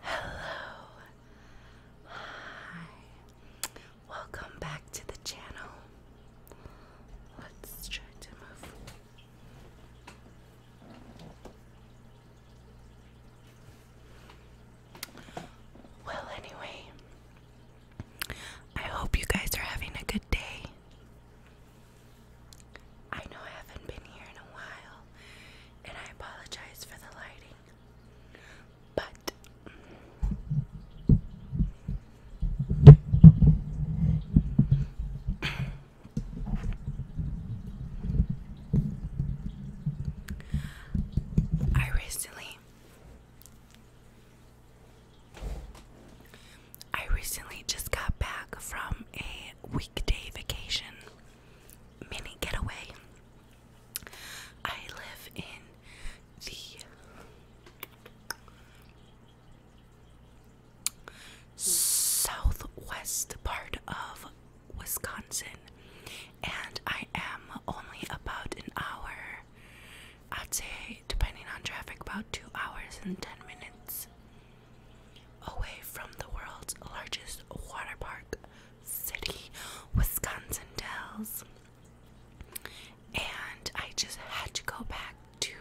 Hello. Hi. Welcome back to the channel. Let's try to move. Well, anyway, I hope you guys are having a good day. I know I haven't been here in a while, and I apologize for the lighting. But I recently I recently just got back from a weekday vacation mini getaway. I live in the southwest part of Wisconsin, and I am only about an hour. I'd say, depending on traffic, about two hours and ten minutes away from the world's largest water park, City, Wisconsin Dells. And I just had to go back to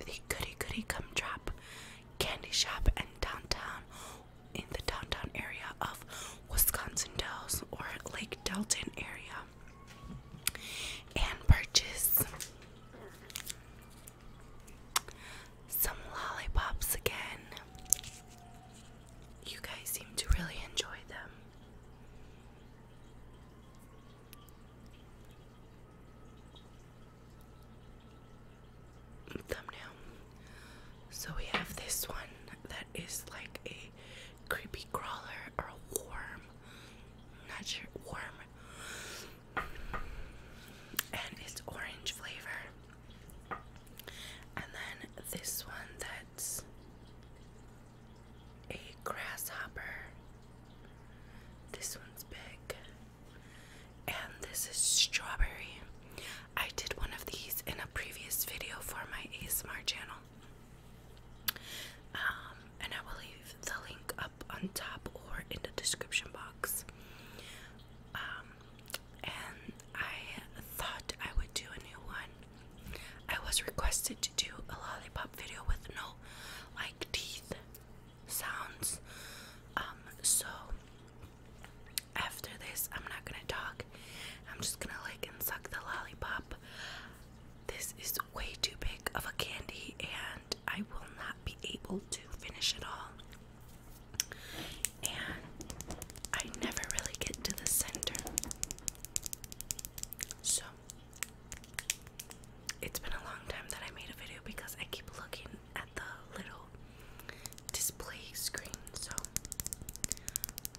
the Goody Goody Come Drop candy shop in downtown, in the downtown area of Wisconsin Dells or Lake Delton area, and purchase some lollipops again. You guys seem to really enjoy them. Thumbnail. So we have this one that is like a creepy crawler or a worm. not sure worm and it's orange flavor. And then this one that's a grasshopper. This one's big. And this is strawberry. I did one of these in a previous video for my ASMR channel. Um, and I will leave the link on top or in the description box. Um, and I thought I would do a new one. I was requested to do a lollipop video with no like teeth sounds. Um, so after this, I'm not gonna talk. I'm just gonna like and suck the lollipop. This is way too big of a candy, and I will not be able to finish it all. And I never really get to the center. So it's been a long time that I made a video because I keep looking at the little display screen. So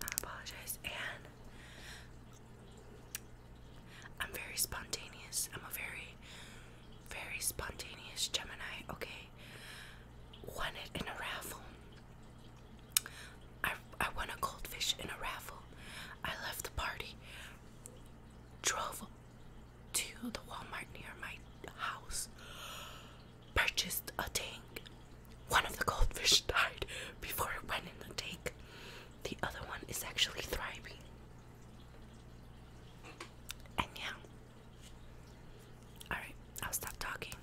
I apologize. And I'm very spontaneous. I'm a very very spontaneous Gemini, okay, won it in a raffle. I, I won a goldfish in a raffle. I left the party, drove to the Walmart near my house, purchased a tank. One of the goldfish died before it went in the tank. The other one is actually thriving. And yeah. Alright, I'll stop talking.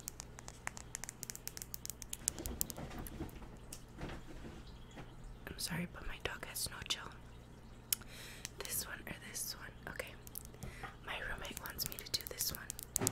I'm sorry, but my dog has no chill. This one or this one? Okay. My roommate wants me to do this one.